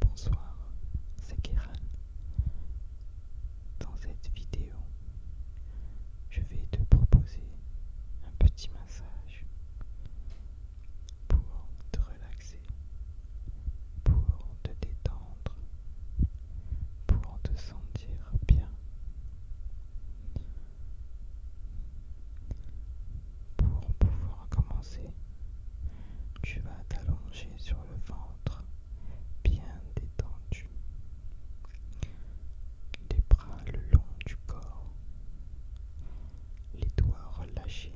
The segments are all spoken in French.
Bonsoir, c'est Kéran. Dans cette vidéo, je vais te proposer un petit massage pour te relaxer, pour te détendre, pour te sentir bien, pour pouvoir commencer tu vas t'allonger sur le ventre, bien détendu. Les bras le long du corps, les doigts relâchés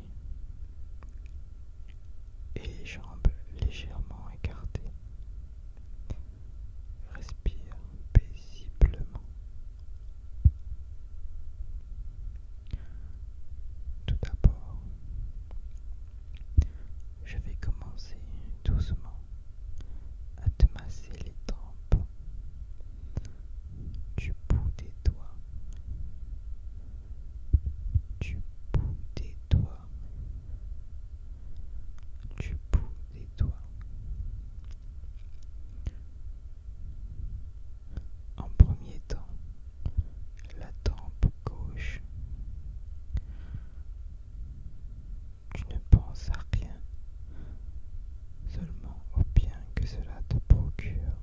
et les jambes légèrement écartées. Respire paisiblement. Tout d'abord, je vais commencer doucement à te masser les tempes du bout des doigts, du bout des doigts, du bout des doigts. En premier temps, la tempe gauche. Tu ne penses à rien, seulement au bien que cela te procure.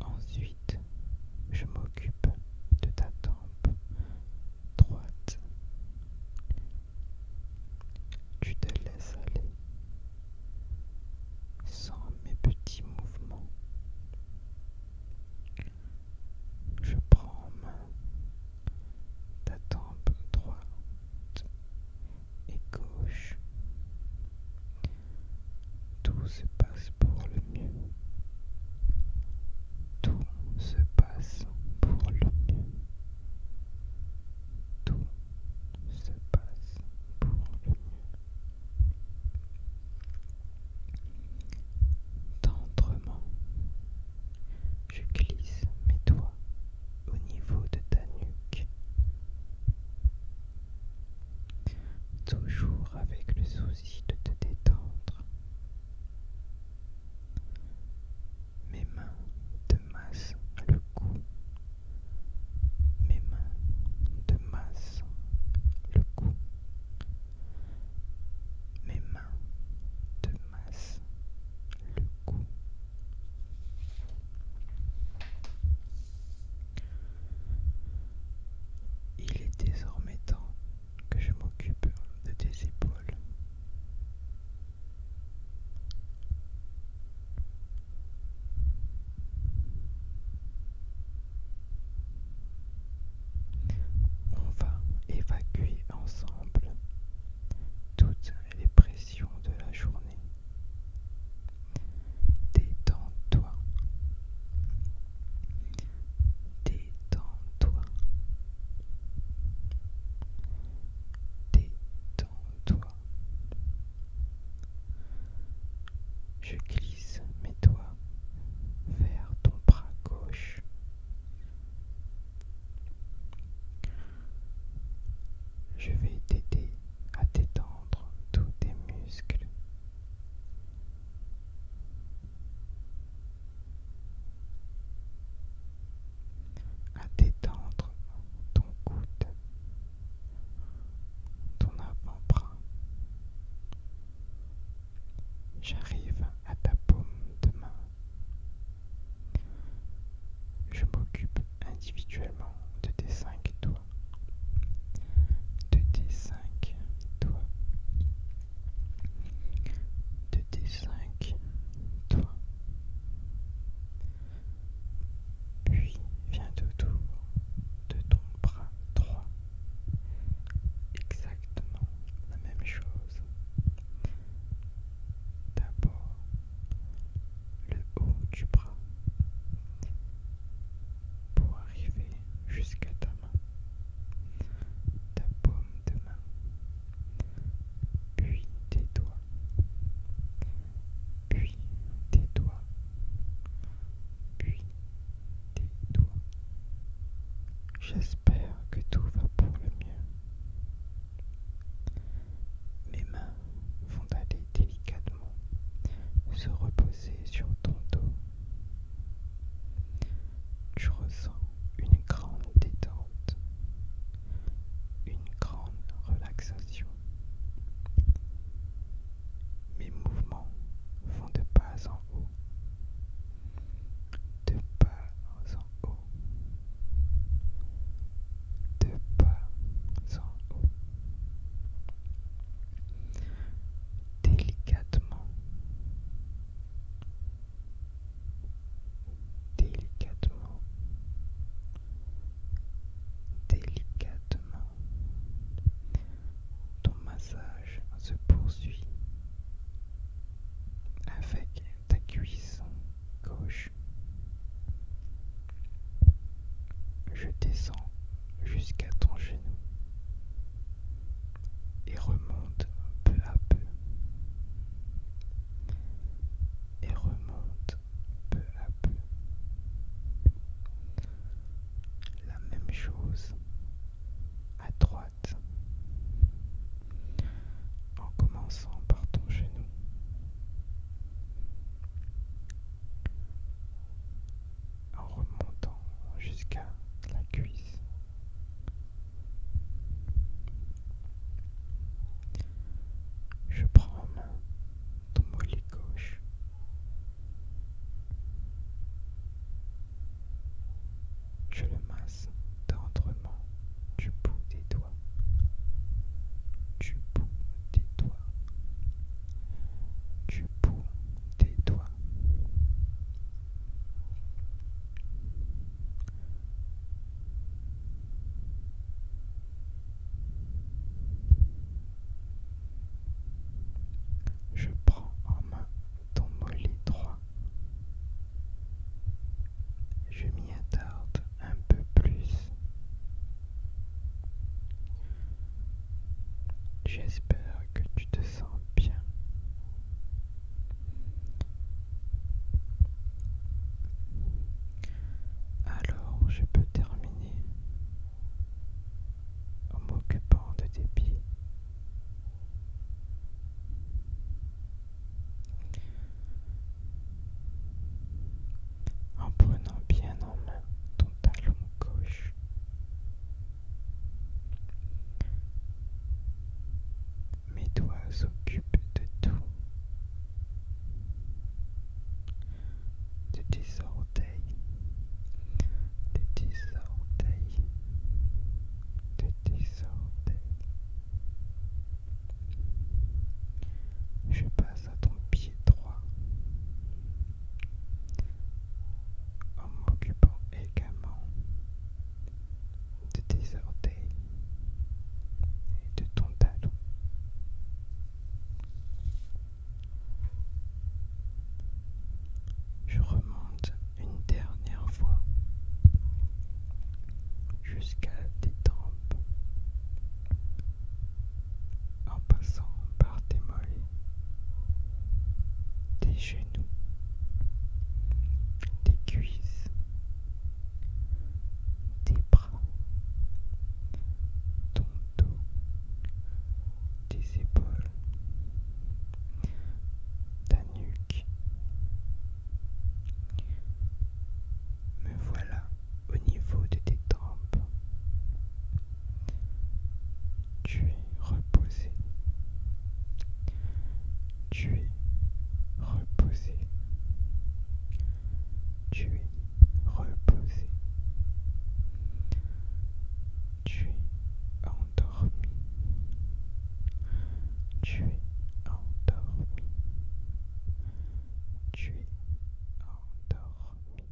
Ensuite, je m'occupe de ta tempe droite. Tu te laisses aller sans mes petits mouvements. Je prends main ta tempe droite et gauche. Tout se passe pour le mieux. Tout se passe pour le mieux. Tout se passe pour le mieux. Tendrement, je glisse mes doigts au niveau de ta nuque. Toujours avec le souci de te détendre. Mes mains de masse le cou. Mes mains de masse le cou. Mes mains de masse le cou. Il est désormais temps que je m'occupe de tes épaules. On va évacuer ensemble toutes les pressions de la journée. Détends-toi. Détends-toi. Détends-toi. Je glisse mes doigts vers ton bras gauche. Je vais t'aider à détendre tous tes muscles à détendre ton coude, ton avant-bras. J'arrive à ta paume de main. Je m'occupe individuellement de tes cinq doigts. De tes cinq doigts de tes 5 doigts Puis viens autour de ton bras droit. Exactement la même chose. D'abord le haut du bras pour arriver jusqu'à ta main. D'abord de main, puis des doigts, puis des doigts, puis tes doigts. J'espère que tout va pour le mieux. Mes mains vont aller délicatement se reposer sur ton dos. Tu ressens une grande détente une grande relaxation. Mes mouvements vont de pas en haut. De pas en haut. De pas en haut. Délicatement délicatement, délicatement. Ton massage se poursuit avec ta cuisse gauche. Je descends jusqu'à ton genou et remonte peu à peu et remonte peu à peu. La même chose à droite en commençant par ton genou. En remontant jusqu'à la cuisse. Je prends mon main ton mollet gauche. Je le masse tendrement du bout des doigts. Du bout des doigts. Du bout des doigts. Je prends en main ton mollet droit. Je m'y attarde un peu plus. J'espère que tu te sens bien. Alors je peux terminer en m'occupant de tes pieds. En prenant bien en main ton talon gauche, mes doigts s'occupent de tout, de tes orteils, de tes orteils, de tes orteils. Je passe à ton pied droit en m'occupant également de tes orteils et de ton talon. Je remonte une dernière fois jusqu'à tes tempes en passant par tes mollets, tes genoux, tes cuisses tes bras, ton dos, tes épaules, ta nuque. Me voilà au niveau de tes tempes. Tu es reposé. Tu es reposé. Tu es reposé. Tu es endormi. Tu es endormi. Tu es endormi.